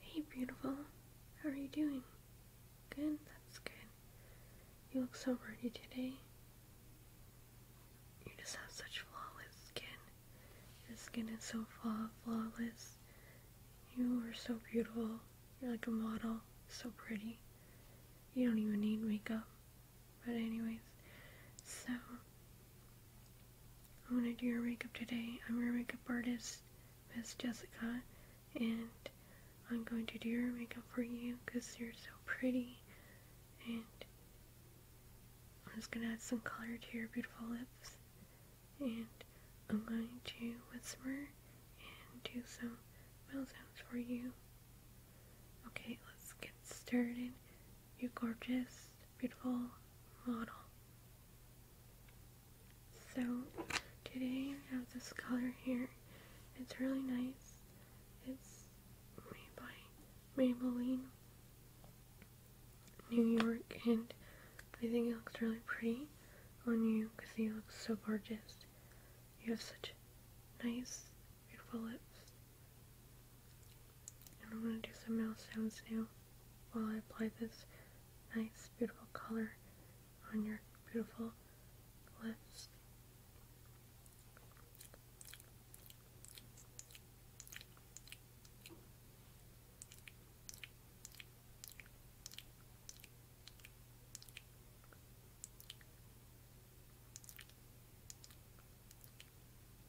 Hey, beautiful. How are you doing? Good? That's good. You look so pretty today. You just have such flawless skin. Your skin is so flaw flawless. You are so beautiful. You're like a model. So pretty. You don't even need makeup. But anyways, so I'm gonna do your makeup today. I'm your makeup artist, Miss Jessica, and I'm going to do your makeup for you because you're so pretty. And I'm just gonna add some color to your beautiful lips. And I'm going to whisper and do some meltdowns for you. Okay, let's get started you gorgeous, beautiful model. So today I have this color here. It's really nice. It's made by Maybelline New York and I think it looks really pretty on you because you look so gorgeous. You have such nice, beautiful lips. And I'm going to do some mouth sounds now while I apply this nice, beautiful color on your beautiful lips.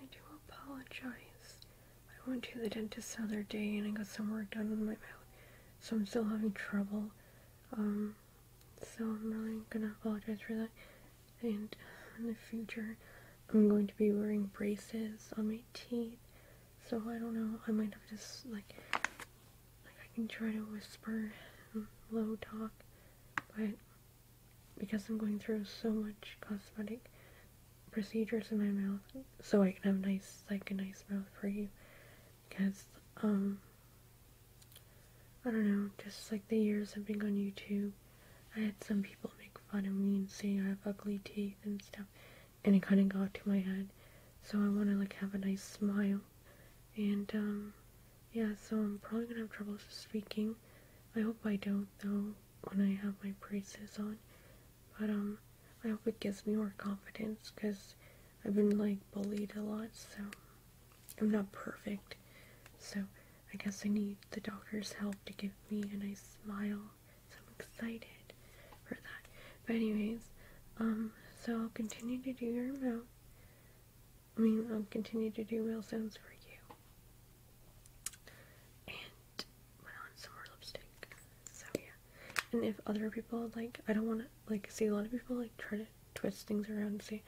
I do apologize. I went to the dentist the other day and I got some work done with my mouth, so I'm still having trouble. Um, so I'm really gonna apologize for that. And in the future, I'm going to be wearing braces on my teeth. So I don't know. I might have to like, like I can try to whisper, low talk, but because I'm going through so much cosmetic procedures in my mouth so I can have nice like a nice mouth for you because um I don't know just like the years of being on YouTube I had some people make fun of me saying I have ugly teeth and stuff and it kind of got to my head so I want to like have a nice smile and um yeah so I'm probably gonna have trouble speaking I hope I don't though when I have my braces on. But um, I hope it gives me more confidence because I've been like bullied a lot, so I'm not perfect. So I guess I need the doctor's help to give me a nice smile. So I'm excited for that. But anyways, um, so I'll continue to do your mouth. I mean, I'll continue to do real sounds for you and went on some more lipstick. So yeah. And if other people like, I don't want to like see a lot of people like try to twist things around and say,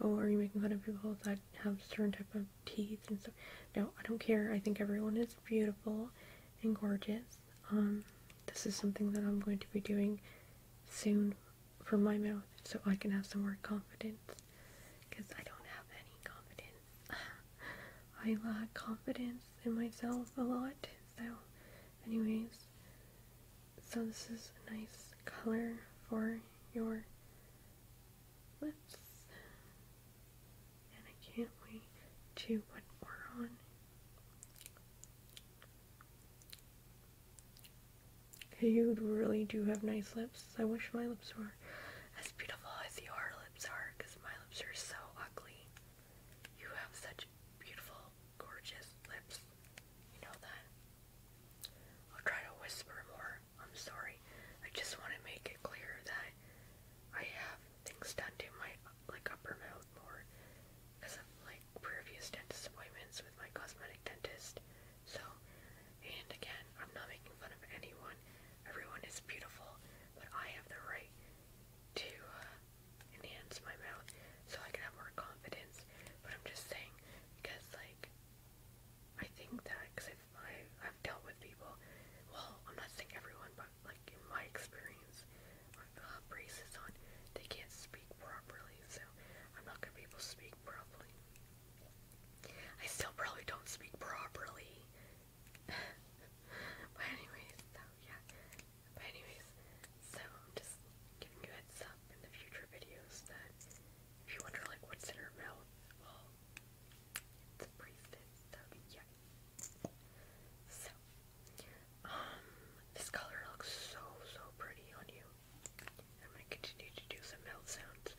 "Oh, are you making fun of people that have certain type of teeth and stuff?" No, I don't care. I think everyone is beautiful and gorgeous. Um, this is something that I'm going to be doing soon for my mouth, so I can have some more confidence because I don't have any confidence. I lack confidence in myself a lot. So, anyways, so this is a nice color for your lips. And I can't wait to put more on. You really do have nice lips. I wish my lips were as beautiful as your lips are because my lips are so ugly. You have such beautiful, gorgeous lips. You know that. I'll try to whisper more. I'm sorry. I just want to make it clear that I have things done to my like upper mouth more because of like previous dentist appointments with my cosmetic dentist. So, and again, I'm not making fun of anyone. Everyone is beautiful, but I have the right to uh, enhance my mouth so I can have more confidence. But I'm just saying because, like, I think that because I've, I've dealt with people. Well, I'm not saying everyone, but like in my experience, I've got uh, braces on. They can't speak properly, so I'm not gonna be able to speak properly. I still probably don't speak properly. but anyways, so yeah. But anyways, so just giving you heads up in the future videos that if you wonder like what's in her mouth, well, it's a priestess, so yeah. So, um, this color looks so, so pretty on you. I'm continue to do some mouth sounds.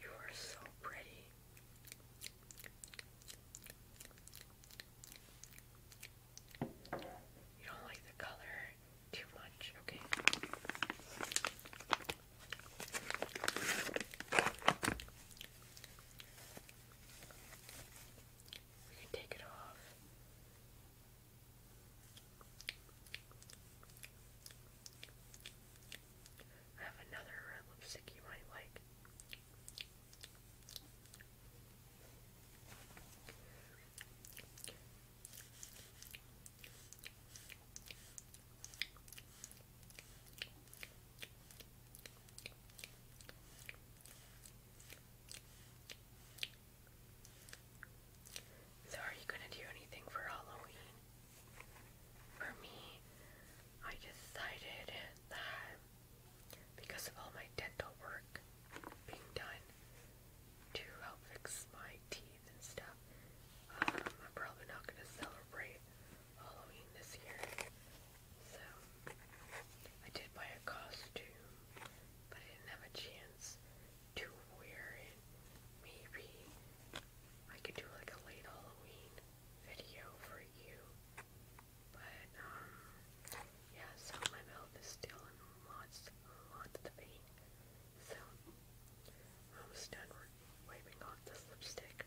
You are so pretty. You don't like the color too much, okay? We can take it off. I have another red lipstick you might like. So, are you gonna do anything for Halloween? For me, I decided that because of all my dental work being done to help fix my teeth and stuff, um, I'm probably not gonna celebrate Halloween this year. So, I did buy a costume, but I didn't have a chance to wear it. Maybe I could do like a late Halloween video for you. But um, yeah, so my mouth is still in lots lots of pain. So I'm almost done wiping off this lipstick.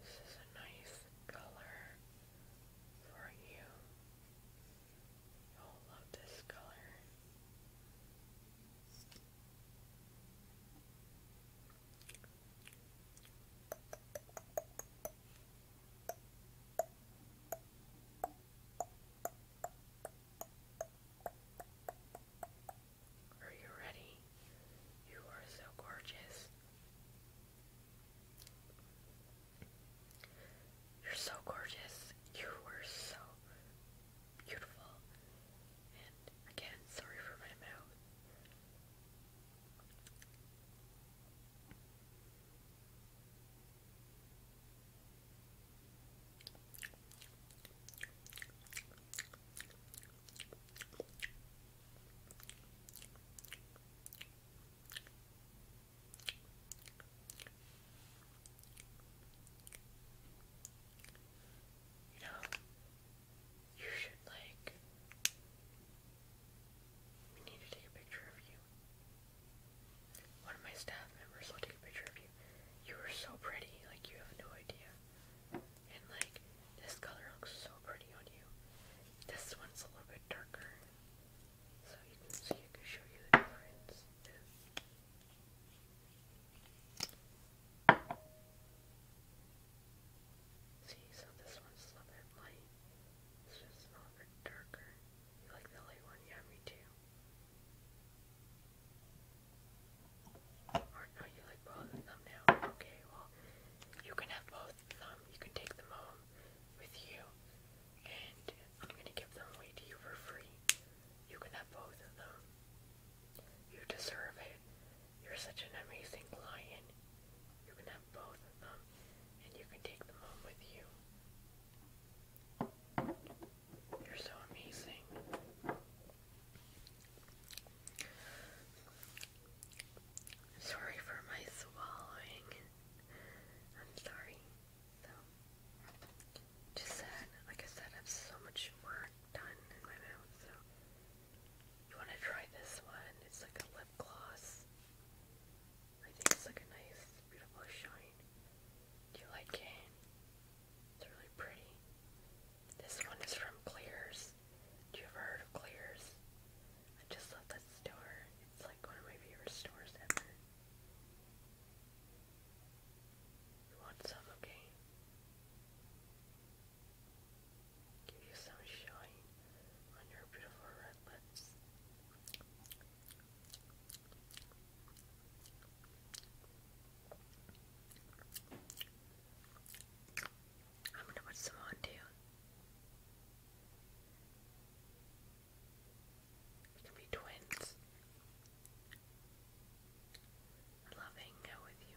This is a nice color for you. You'll love this color. Are you ready? You are so gorgeous. You're so gorgeous. You were so beautiful. And again, sorry for my mouth. You know, you should like. We need to take a picture of you. One of my staff members will take a picture of you. You are so pretty, like you have no idea. And like this color looks so pretty on you. This one's a little bit darker. So you can see I can show you the difference. See, so this one's a little bit light. This one's a little bit darker. You like the light one? Yeah, me too. Or no, you like both of now. Okay, well, you can have both of You can take them home with you, and I'm gonna give them away to you for free. You can have both of them. You deserve it. You're such an amazing lion. You can have both of them, and you can take them home with you. You're so amazing. Sorry for my swallowing. I'm sorry. just said, like I said, I have so much more done in my mouth, so. You want to try this one? It's like a lip gloss. I think it's like a nice, beautiful shine. Do you like it? It's really pretty. This one is from Clears. Do you ever heard of Clears? I just love that store. It's like one of my favorite stores ever. You want some, okay? Give you some shine on your beautiful red lips. I'm gonna put some on too. We can be twins. love hanging out with you.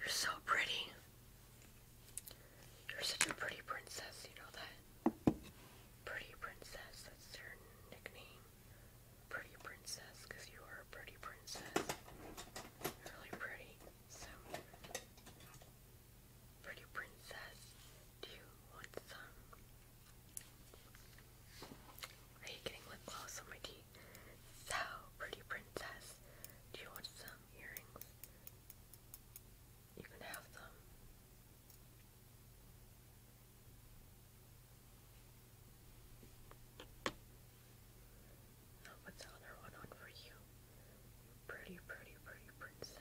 You're so pretty. You're such a pretty princess, you know that? Pretty princess, that's your nickname. Pretty princess, because you are a pretty princess. really pretty some pretty princess. Do you want some? Are you getting lip gloss on my teeth? So, pretty princess, do you want some earrings? You can have them. I'll put the other one on for you. pretty, pretty, pretty princess.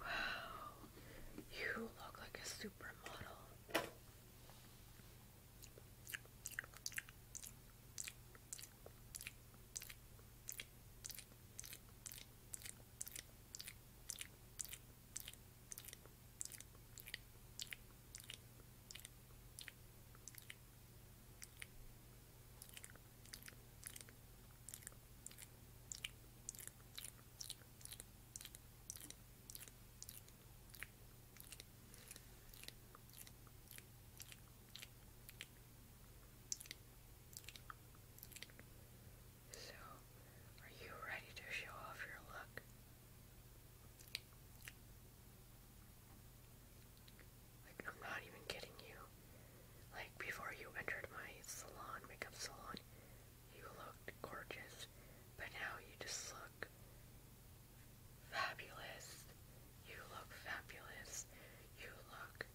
Wow, you look like a supermodel. So, are you ready to show off your look? Like, I'm not even kidding you. Like, before you entered my salon, makeup salon, you looked gorgeous, but now you just look fabulous. You look fabulous. You look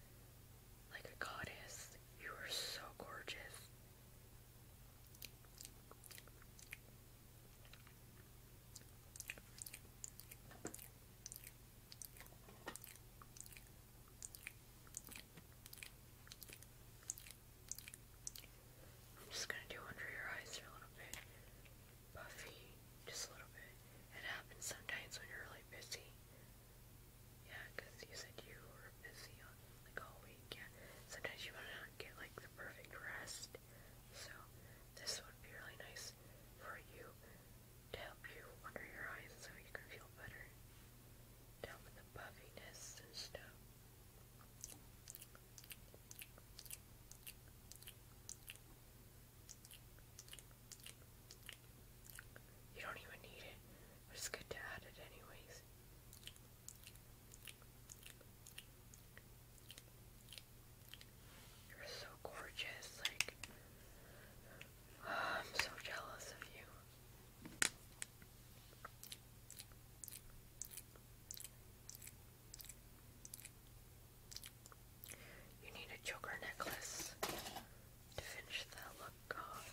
like a goddess. You are so gorgeous. I'm just gonna do under your eyes for a little bit. Puffy, just a little bit. It happens sometimes when you're really busy. Yeah, you said you were busy like all week. Yeah, sometimes you wanna not get like the perfect rest. So this would be really nice for you to help you under your eyes so you can feel better down with the puffiness and stuff. You don't even need it, it's good to add it anyways. You're so gorgeous, like, I'm so jealous of you. You need a choker necklace to finish that look off.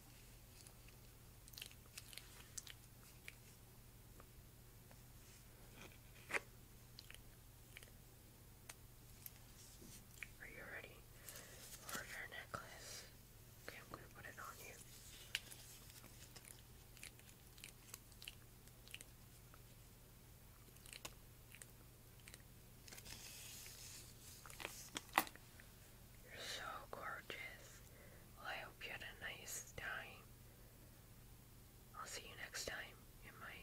Are you ready for your necklace? Okay, I'm going to put it on you. You're so gorgeous. Well, I hope you had a nice time. I'll see you next time in my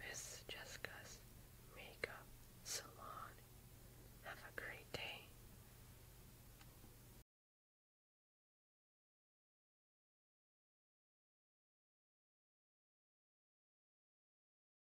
Miss Jessica's Makeup Salon. Have a great day.